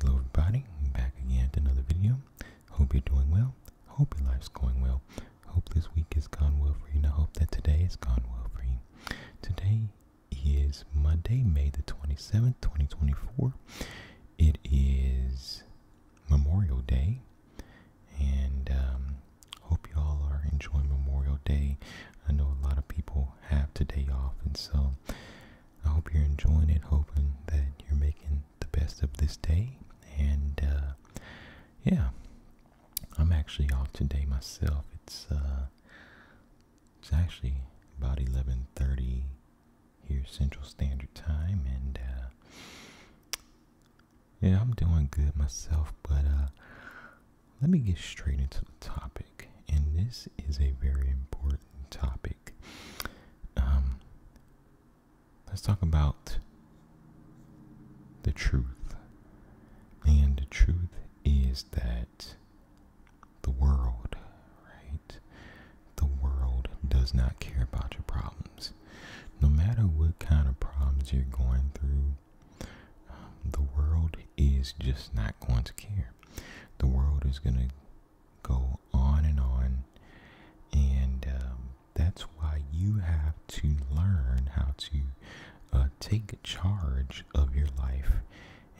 Hello everybody, back again to another video. Hope you're doing well. Hope your life's going well. Hope this week has gone well for you and I hope that today has gone well for you. Today is Monday, May the 27th, 2024. It is Memorial Day and um, hope you all are enjoying Memorial Day. I know a lot of people have today off and so I hope you're enjoying it, hoping that you're making the best of this day. And uh, yeah, I'm actually off today myself. It's uh, it's actually about 11:30 here Central Standard Time, and uh, yeah, I'm doing good myself. But let me get straight into the topic and this is a very important topic. Um, let's talk about the truth. And the truth is that the world, right? The world does not care about your problems. No matter what kind of problems you're going through, um, the world is just not going to care. The world is going to go on and on. And um, that's why you have to learn how to uh, take charge of your life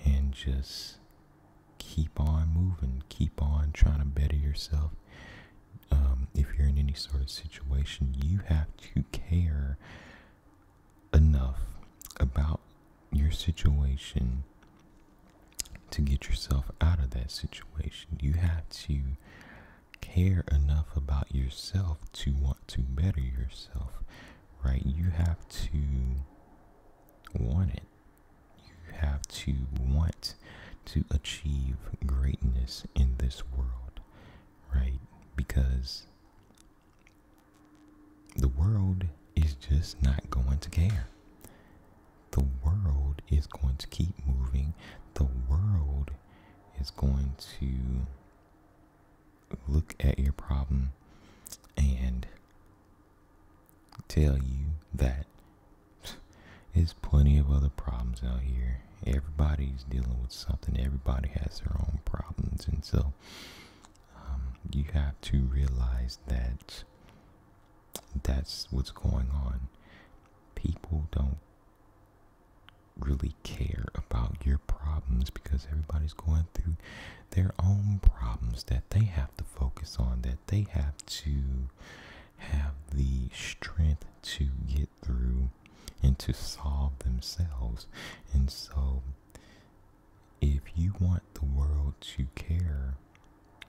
and just keep on moving, keep on trying to better yourself. Um, if you're in any sort of situation, you have to care enough about your situation to get yourself out of that situation. You have to care enough about yourself to want to better yourself, right? You have to want it. You have to want to achieve greatness in this world, right? Because the world is just not going to care. The world is going to keep moving. The world is going to look at your problem and tell you that there's plenty of other problems out here. Everybody's dealing with something. Everybody has their own problems. And so um, you have to realize that that's what's going on. People don't really care about your problems because everybody's going through their own problems that they have to focus on, that they have to have the strength to get through and to solve themselves. And so if you want the world to care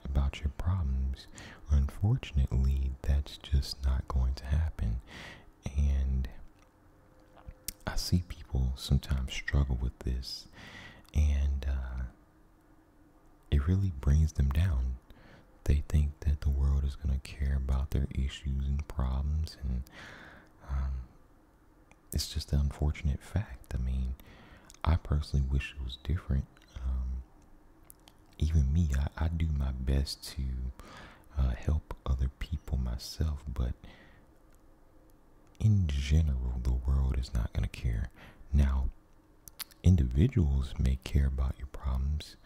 about your problems, unfortunately, that's just not going to happen. And I see people sometimes struggle with this, and uh, it really brings them down. They think that the world is going to care about their issues and problems, and um, it's just an unfortunate fact. I mean, I personally wish it was different. Um, even me, I, do my best to uh, help other people myself, but in general, the world is not going to care. Now, individuals may care about your problems,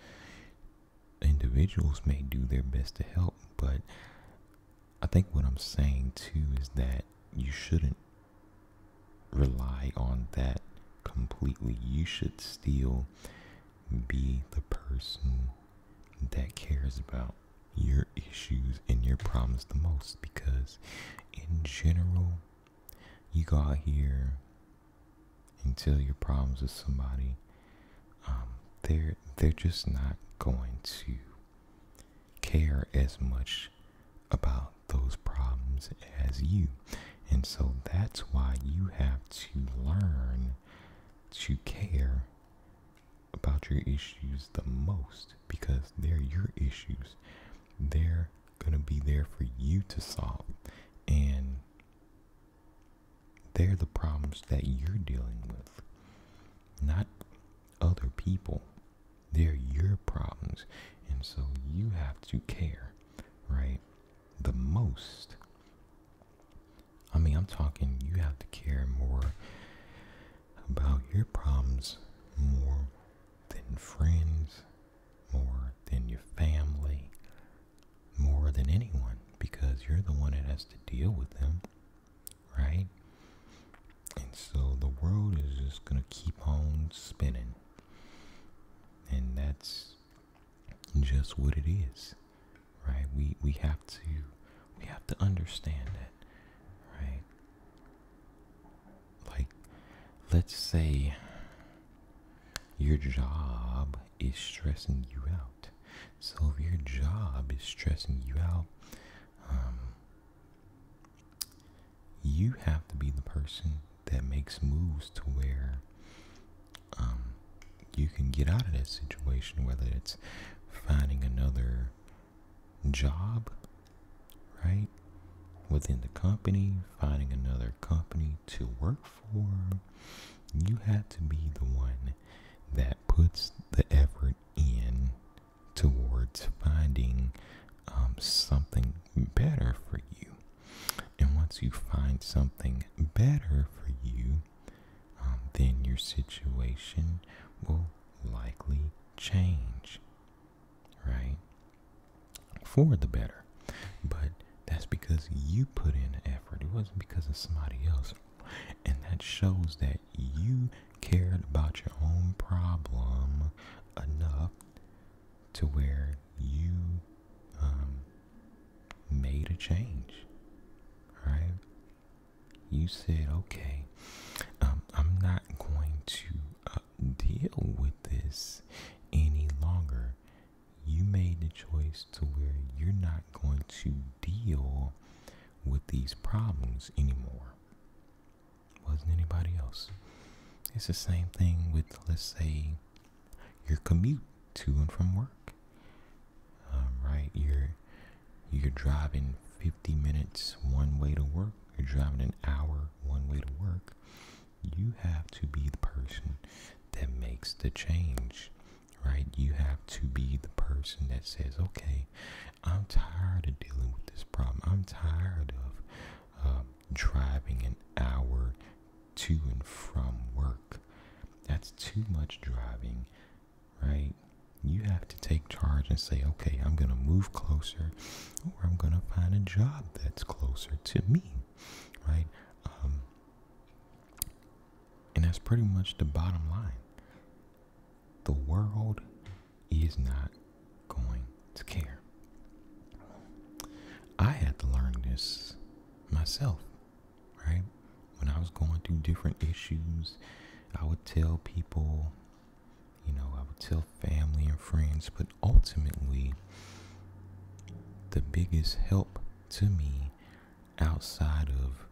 individuals may do their best to help, but I think what I'm saying too is that you shouldn't rely on that completely. You should still be the person that cares about your issues and your problems the most because, in general, you go out here and tell your problems to somebody, um, they're they're just not going to care as much about those problems as you. And so that's why you have to learn to care about your issues the most because they're your issues. They're going to be there for you to solve. And they're the problems that you're dealing with. Not other people. They're your problems. And so you have to care, right? The most. I mean, I'm talking you have to care more about your problems more than friends, more than your family, more than anyone, because you're the one that has to deal with them, right? And so the world is just going to keep on spinning. And that's just what it is. Right? We we have to we have to understand that, right? Like let's say your job is stressing you out. So if your job is stressing you out, um, you have to be the person that makes moves to where um, you can get out of that situation, whether it's finding another job, right? Within the company, finding another company to work for. You have to be the one that puts the effort in towards finding um, something better for you. And once you find something better for you, um, then your situation will likely change, right? For the better. But that's because you put in the effort. It wasn't because of somebody else. And that shows that you cared about your own problem enough to where you um, made a change, right? You said, okay, um, I'm not going to uh, deal with this any longer. You made the choice to where you're not going to deal with these problems anymore wasn't anybody else. It's the same thing with, let's say, your commute to and from work. Um, right, you're you're driving 50 minutes one way to work. You're driving an hour one way to work. You have to be the person that makes the change, right? You have to be the person that says, okay, I'm tired of dealing with this problem. I'm tired of um, driving an hour to and from work. That's too much driving, right? You have to take charge and say, okay, I'm going to move closer or I'm going to find a job that's closer to me, right? Um, and that's pretty much the bottom line. The world he is not going to care. I had to learn this myself, right? When I was going through different issues, I would tell people, you know, I would tell family and friends, but ultimately, the biggest help to me outside of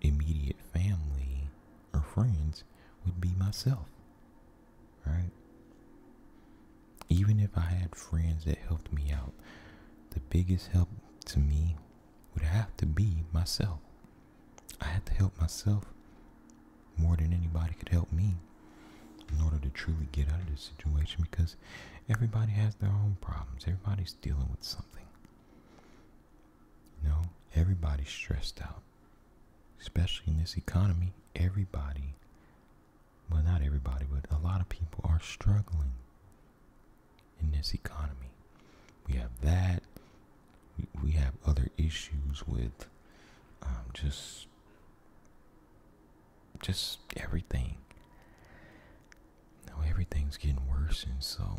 immediate family or friends would be myself, right? Even if I had friends that helped me out, the biggest help to me would have to be myself. I had to help myself more than anybody could help me in order to truly get out of this situation because everybody has their own problems. Everybody's dealing with something. You know, everybody's stressed out especially in this economy, everybody, well, not everybody, but a lot of people are struggling in this economy. We have that. We have other issues with um, just just everything. Now everything's getting worse, and so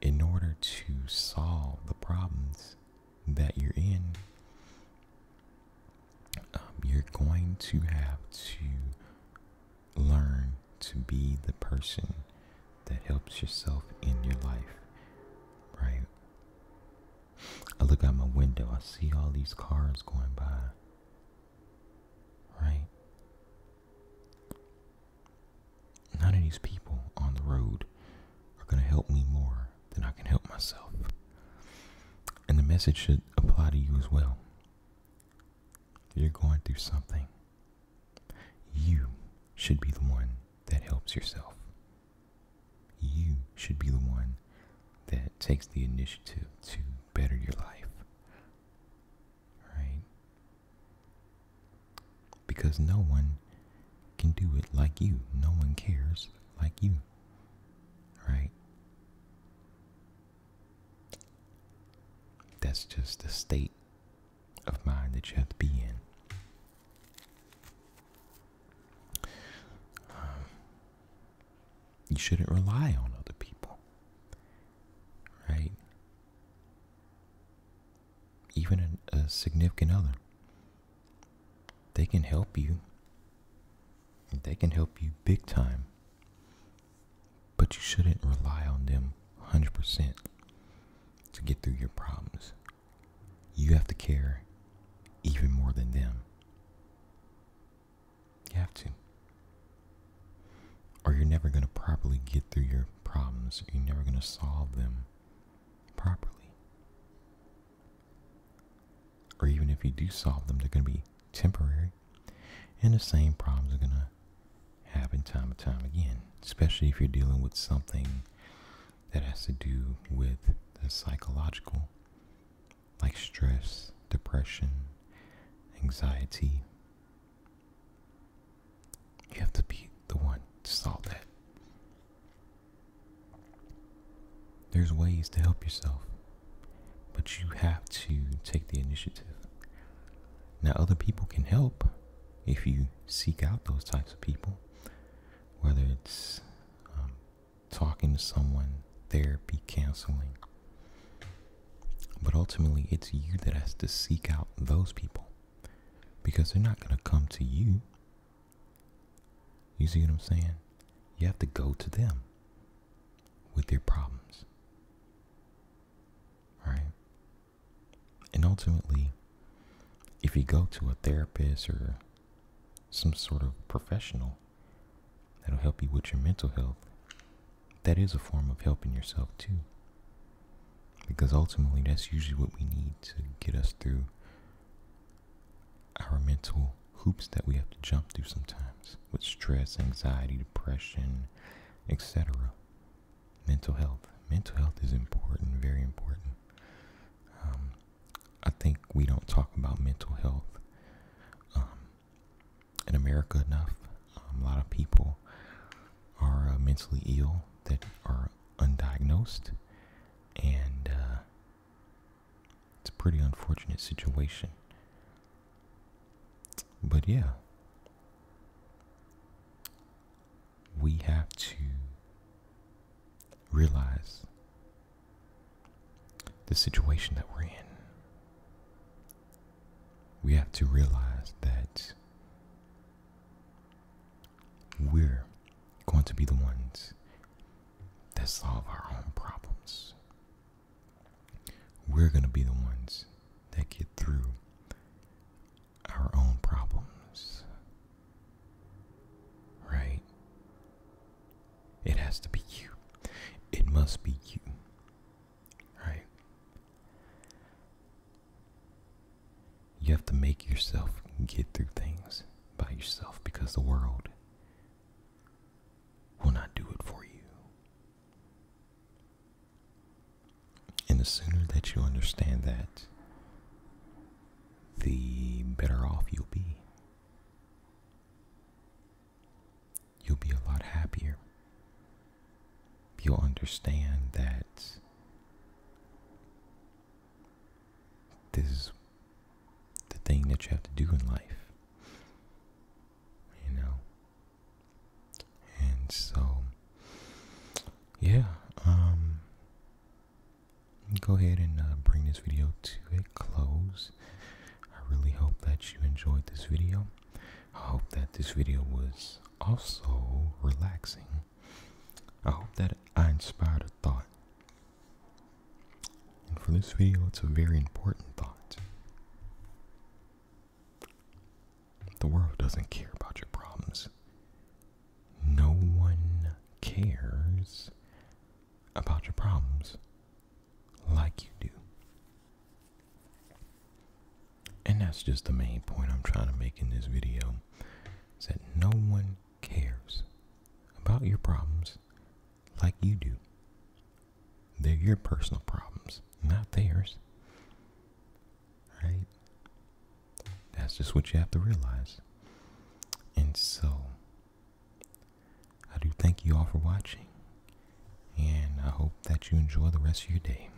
in order to solve the problems that you're in, um, you're going to have to learn to be the person that helps yourself in your life, right? I look out my window, I see all these cars going by, right? None of these people on the road are going to help me more than I can help myself. And the message should apply to you as well. you're going through something, you should be the one that helps yourself. You should be the one that takes the initiative to better your life. Right? Because no one can do it like you. No one cares like you. Right? That's just the state of mind that you have to be in. Um, you shouldn't rely on other people. Right? even a, significant other. They can help you. They can help you big time. But you shouldn't rely on them 100% to get through your problems. You have to care even more than them. You have to. Or you're never going to properly get through your problems. You're never going to solve them properly. Or even if you do solve them, they're going to be temporary. And the same problems are going to happen time and time again, especially if you're dealing with something that has to do with the psychological, like stress, depression, anxiety, you have to be the one to solve that. There's ways to help yourself, but you have to take the initiative. Now, other people can help if you seek out those types of people, whether it's um, talking to someone, therapy, counseling. But ultimately, it's you that has to seek out those people because they're not going to come to you. You see what I'm saying? You have to go to them with your problems. Right? And ultimately, if you go to a therapist or some sort of professional that'll help you with your mental health, that is a form of helping yourself too. Because ultimately, that's usually what we need to get us through our mental hoops that we have to jump through sometimes with stress, anxiety, depression, etc. Mental health. Mental health is important, very important. Um, I think we don't talk about mental health um, in America enough. Um, a lot of people are uh, mentally ill that are undiagnosed, and uh, it's a pretty unfortunate situation. But yeah, we have to realize the situation that we're in. We have to realize that we're going to be the ones that solve our own problems. We're going to be the ones that get through our own problems. Right? It has to be you. It must be you. Right? You have to make yourself get through things by yourself because the world will not do it for you. And the sooner that you understand that, the better off you'll be. You'll be a lot happier you'll understand that this is the thing that you have to do in life. You know? And so, yeah, um, go ahead and uh, bring this video to a close. I really hope that you enjoyed this video. I hope that this video was also relaxing I hope that I inspired a thought. And for this video, it's a very important thought. The world doesn't care about your problems. No one cares about your problems like you do. And that's just the main point I'm trying to make in this video is that no one cares about your problems like you do. They're your personal problems, not theirs. Right? That's just what you have to realize. And so, I do thank you all for watching, and I hope that you enjoy the rest of your day.